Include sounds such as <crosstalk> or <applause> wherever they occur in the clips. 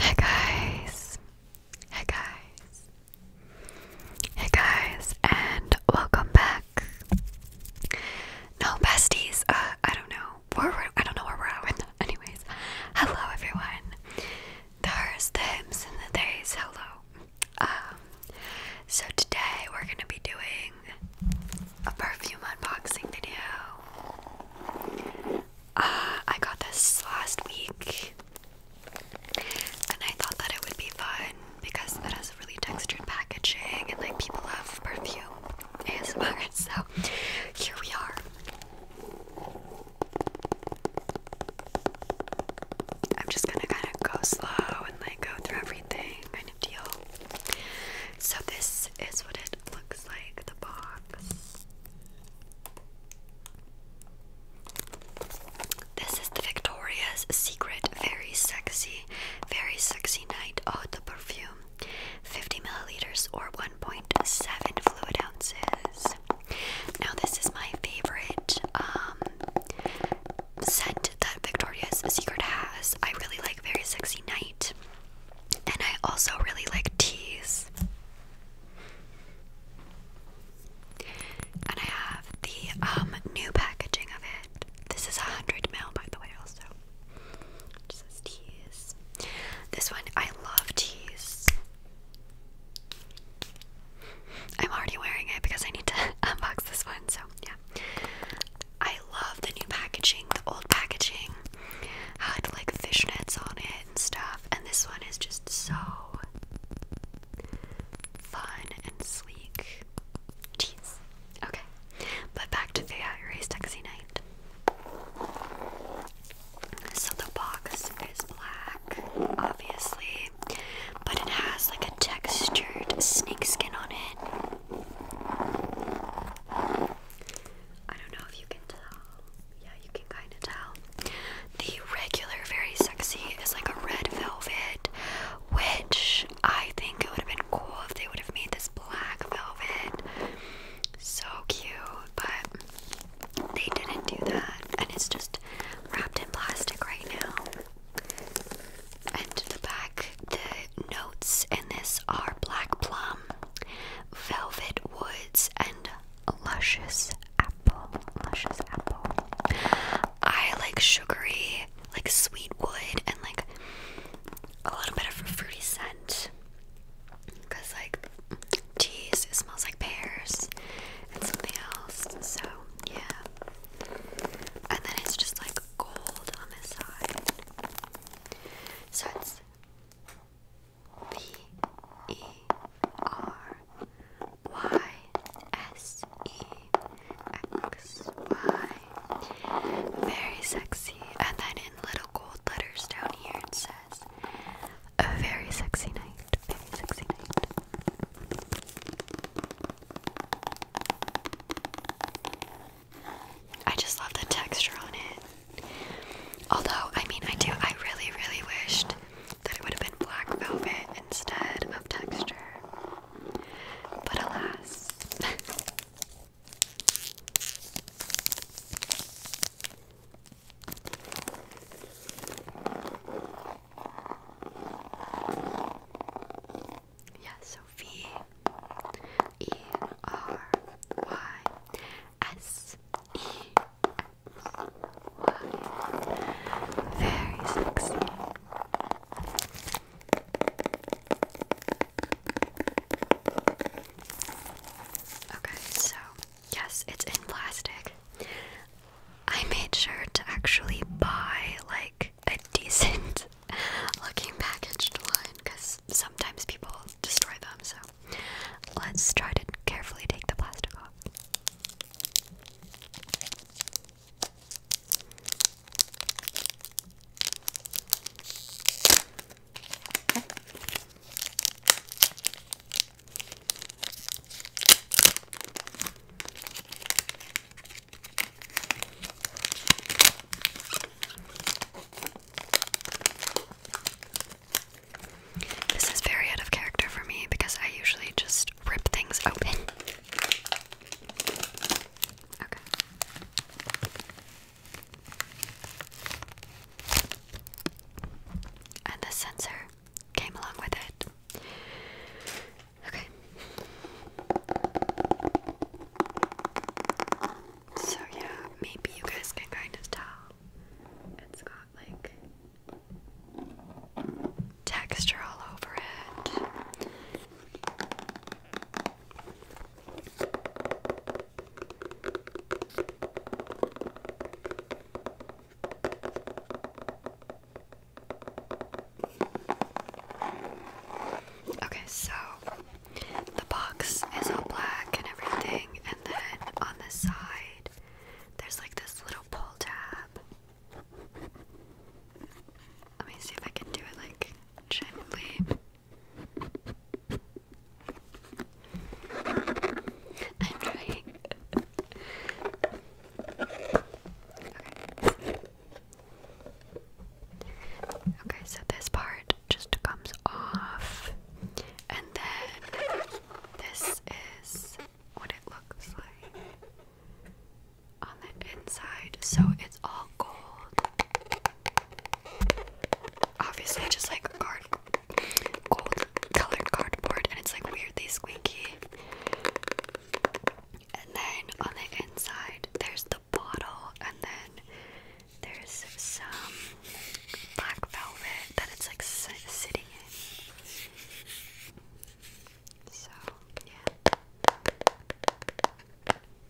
Hey guys, hey guys, hey guys, and welcome back. No besties, uh, I don't know where we're, I don't know where we're at Anyways, hello everyone. There's the hymns and the days. Hello. Um, so today we're gonna be doing a perfume unboxing video. Uh, I got this last week and I thought that it would be fun because it has really textured packaging and like people love perfume ASMR, <laughs> so here we are. I'm just gonna kind of go slow and like go through everything, kind of deal. So, this is what it looks like the box. This is the Victoria's Secret Very Sexy, Very Sexy Night Eau oh, the Perfume. 50 milliliters or 1.7 fluid ounces. Now, this is my favorite um, scent that Victoria's Secret has. I really like Very Sexy Night. And I also really like teas. And I have the um, new packaging of it. This is a 100 ml, by the way, also. It says teas. This one, I love teas. I'm already wearing it because I need to <laughs> unbox this one, so yeah. I love the new packaging, the old packaging had like fishnets on it and stuff, and this one is just so fun and sleek. Jeez. Okay, but back to Faya Erase Taxi Night. So the box is black, obviously, but it has like a textured snake on it. I don't know if you can tell. Yeah, you can kind of tell. The regular Very Sexy is like a red velvet, which I think it would have been cool if they would have made this black velvet. So cute, but they didn't do that. And it's just wrapped in plastic right now. And the back the notes in this are black plum, velvet woods, and luscious apple. Luscious apple. I like sugary, like sweet wood, and like a little bit of a fruity scent. Because, like, teas, it smells like pears and something else. So, yeah. And then it's just like gold on this side. So it's B E R Y S E X Y. Very sexy. And then in little gold letters down here it says a very sexy night. Very sexy night. I just love the texture on it. Although, I mean, I do, I really, really wished that it would have been black velvet instead of texture. But alas. <laughs> Yeah, so V E R Y S E X Y. Very sexy. Okay, so yes, it's in plastic. I made sure to actually buy like a decent <laughs> looking packaged one because sometimes people destroy them. So let's try to carefully take the plastic off. This is very out of character for me because I usually just rip things open. And the sensor came along with it. Okay. So yeah, maybe you guys can kind of tell. It's got like texture all over it. Okay, so the box is all black and everything, and then on the side, there's like this little pull tab. Let me see if I can do it like gently. I'm trying. <laughs> Okay. so this part just comes off, and then this is what it looks like on the inside. So it's all gold. Obviously, just like card, gold colored cardboard, and it's like weirdly squeaky. And then on the inside, there's the bottle, and then there's some black velvet that it's like sitting in. So, yeah.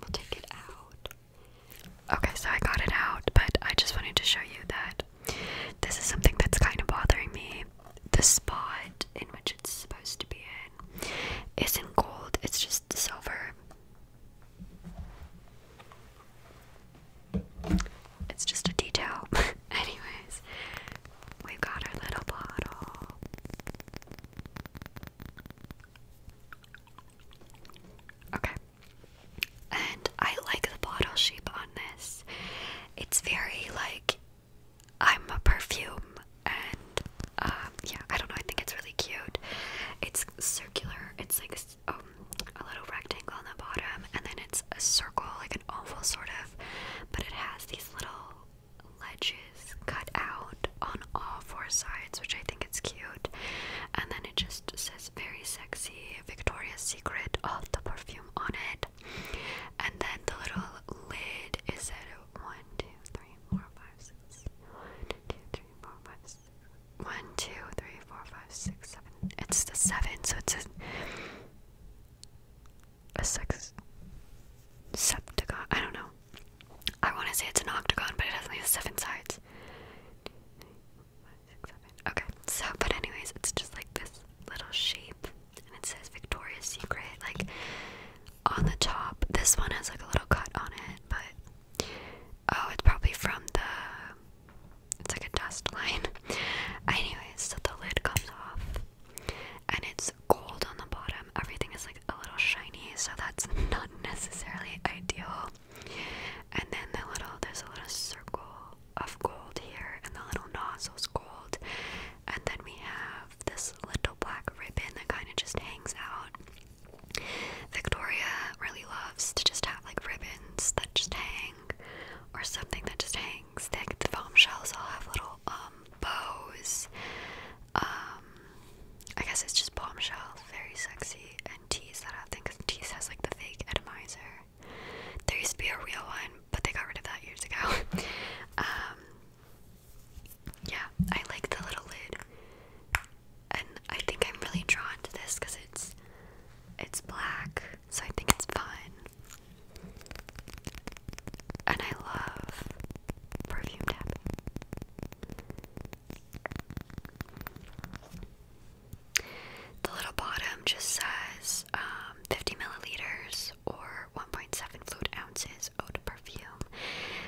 We'll take it out. Okay, so I got it out, but I just wanted to show you that this is something that's kind of bothering me the spot in which it's supposed to be in isn't gold, it's just silver. It's just a detail. <laughs> Anyways, we've got our little bottle. Okay. And I like the bottle shape on this. It's very like I'm a perfume, and uh, yeah, I don't know. I think it's really cute. It's circular. It's like um, a little rectangle on the bottom, and then it's a circle, like an oval sort of. But it has these little ledges cut out on all four sides, which I think it's cute. And then it just says very sexy Victoria's Secret, of the perfume on it. And then the little lid is at one, two, three, four, five, six. It's the seven, so it's a, a six septagon. I don't know. I want to say it's an octagon, but it has only seven sides. Okay, so but anyways, it's just like this little shape, and it says Victoria's Secret like on the top. This one has like a little cut on it, but oh, it's probably from the. It's like a dust <laughs> line. Anyways, so the lid comes off, and it's gold on the bottom. Everything is like a little shiny, so that's <laughs> not necessarily ideal. And then the little, there's a little circle of gold here and the little nozzle's gold. And then we have this little black ribbon that kind of just hangs out. Victoria really loves to just have like ribbons that just hang or something that just hangs. Like the foam shells all have little um, bows. Um, I guess it's just bombshells, very sexy, and tease that I think tease has like the fake atomizer. There used to be a real one, but they got rid of that years ago. <laughs> Um, yeah, I like the little lid, and I think I'm really drawn to this because it's it's black, so I think it's fun. And I love perfume tapping. The little bottom just says um, 50 milliliters or 1.7 fluid ounces of perfume.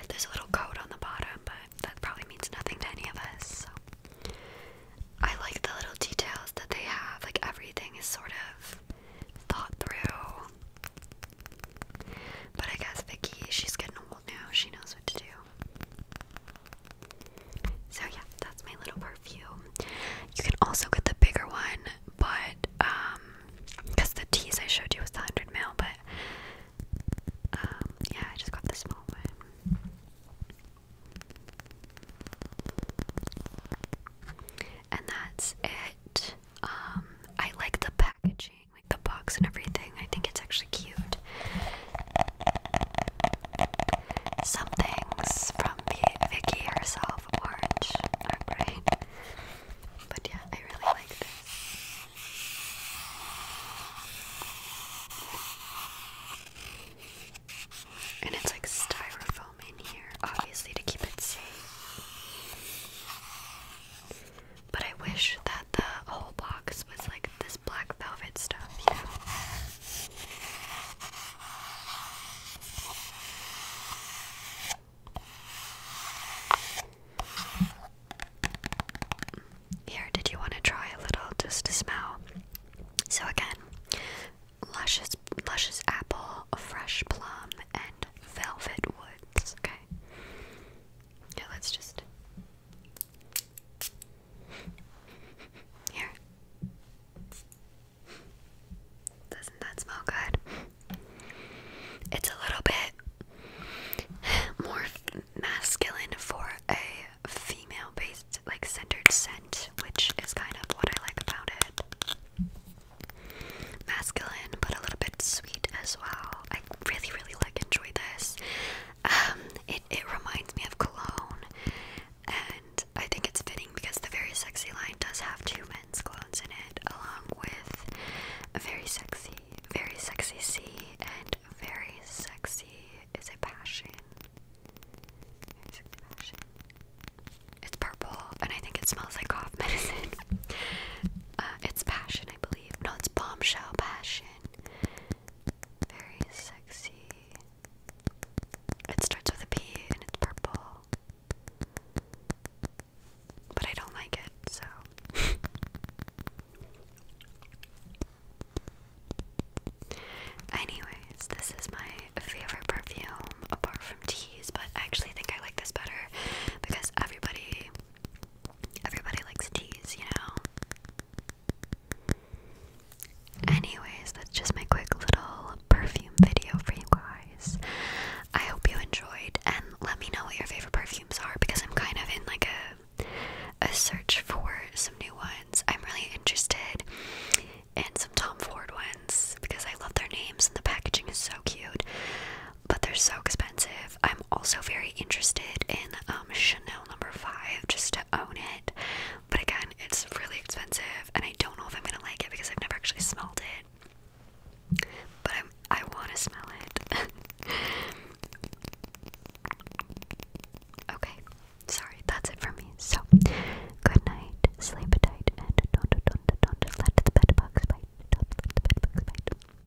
There's a little code on the bottom, but that probably means nothing to any of us. So. I like the little details that they have, like everything is sort of thought through. But I guess Vicky, she's getting old now, she knows what to do. So yeah, that's my little perfume. You can also get the bigger one, but um, because the tease I showed you was the hundred mil, but um, yeah, I just got the small one. And that's it. Um, I like the packaging, like the box and everything. I think it's actually cute. Some things from Vicky herself, Orange, are <laughs> great. But yeah, I really like this. And it's like styrofoam in here, obviously, to keep it safe. But I wish that the whole box was like this black velvet stuff, you know? Here, did you want to try a little just to smell? So again, luscious, luscious apple, fresh plum, and velvet woods. Okay. Yeah, let's just here. Doesn't that smell good? It's a little bit more masculine for a female based, like centered scent, which is kind of what I like about it. Masculine, but a little bit sweet as well. I really, really like enjoy this. Um, it, it reminds me of cologne, and I think it's fitting because the Very Sexy line does have two men's colognes in it, along with a Very Sexy, Very Sexy C, and Very Sexy is a Passion. It's purple, and I think it smells like cough medicine. <laughs> Uh, it's Passion, I believe. No, it's Bombshell Passion. Very sexy. It starts with a P and it's purple. But I don't like it, so. <laughs> Anyways, this is my favorite perfume apart from teas, but I actually think I like this better because everybody everybody likes teas, you know. Anyways, that's just my quick little perfume video for you guys. I hope you enjoyed and let me know what your favorite perfumes are because I'm kind of in like a a search for some new ones. I'm really interested in some Tom Ford ones because I love their names and the packaging is so cute but they're so expensive. I'm also very interested in um, Chanel number five just to own it, but again, it's really expensive, and I don't know if I'm gonna like it because I've never actually smelled it. But I'm, I want to smell it. <laughs> okay, sorry, that's it for me. So, good night, sleep tight, and don't, don't, don't, don't let the bed bugs bite. Don't let the bed bugs bite.